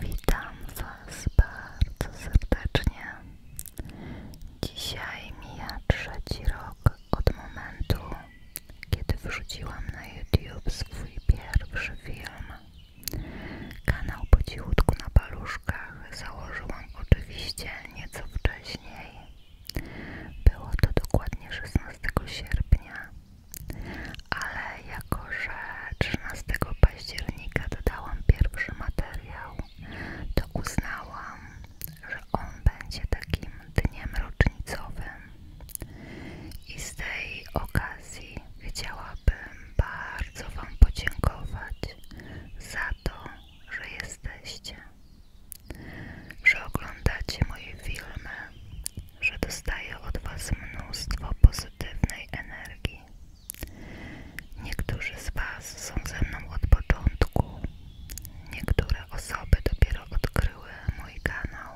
Witam Was bardzo serdecznie. Dzisiaj mija trzeci rok od momentu, kiedy wrzuciłam na YouTube swój pierwszy film. Kanał po cichutku na paluszkach założyłam oczywiście nieco wcześniej. Było to dokładnie 16 sierpnia ale jako że 13 października dodałam pierwszy materiał, to uznałam, że on będzie takim dniem rocznicowym i z tej okazji chciałabym bardzo Wam podziękować za to, że jesteście, że oglądacie moje filmy, że dostaję od Was mnóstwo pozytywnej energii. Niektórzy z Was są ze mną od początku, niektóre osoby dopiero odkryły mój kanał,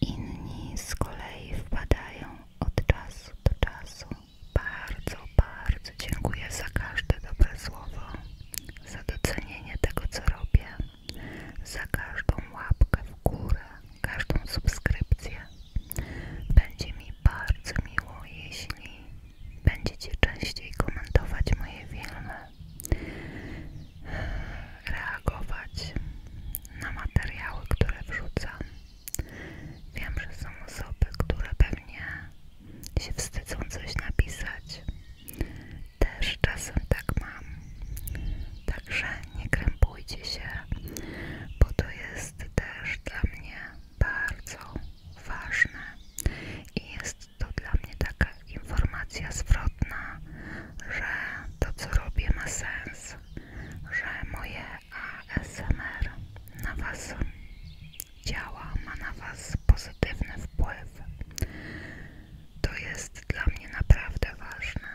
inni z kolei wpadają od czasu do czasu. Bardzo, bardzo dziękuję za każde dobre słowo, za docenienie tego, co robię. Za każdą łapkę w górę, każdą subskrypcję. Będzie mi bardzo miło, jeśli będziecie częściej komentować moje filmy, reagować na materiały, które wrzucam. Wiem, że są osoby, które pewnie się wstydzą coś napisać, też czasem tak mam. Także nie krępujcie się, bo to jest też dla mnie bardzo ważne i jest to dla mnie taka informacja zwrotna, że to co robię ma sens, że moje ASMR na Was działa, ma na Was pozytywny wpływ, to jest dla mnie naprawdę ważne.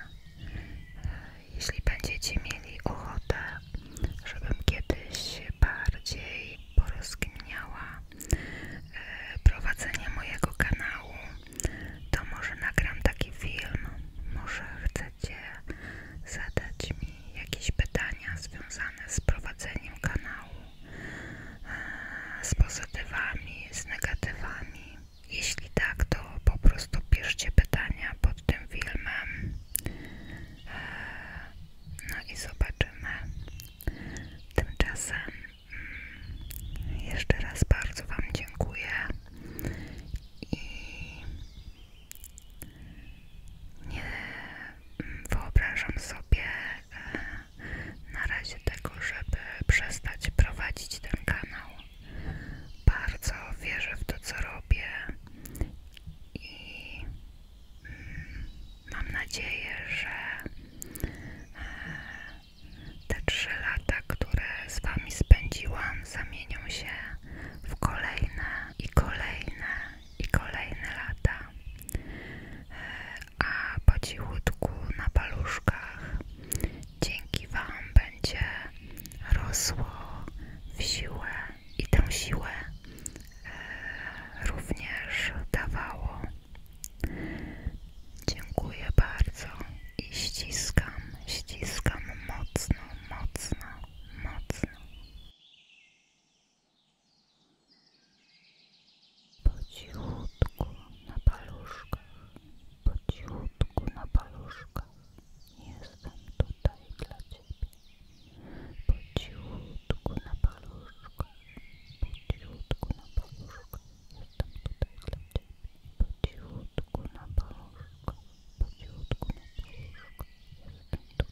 Jeśli będziecie mieli ochotę, żebym kiedyś bardziej porozkminiała e, prowadzenie mojego kanału, to może nagram taki film. Może chcecie zadać mi jakieś pytania związane z prowadzeniem kanału z pozytywami, z negatywami. Jeśli tak, to po prostu piszcie pytania pod tym filmem. E, no i zobaczymy. Tymczasem mm, jeszcze raz bardzo Wam dziękuję i nie wyobrażam sobie e, na razie tego, żeby przestać prowadzić ten kanał. Bardzo wierzę w to, co robię i mm, mam nadzieję, że e, te trzy lata, które z Wami spędziłam, zamienią się w kolejne i kolejne i kolejne lata, e, a po cichutku na paluszkach dzięki Wam będzie rosło w siłę i tę siłę e, również dawało. Dziękuję bardzo i ściskam, ściskam mocno, mocno, mocno. Po na paluszkach, po na paluszkach, jestem tutaj dla Ciebie. Po na paluszkach, po na paluszkach, jestem tutaj dla Ciebie. Po na paluszkach, po na paluszkach, jestem tutaj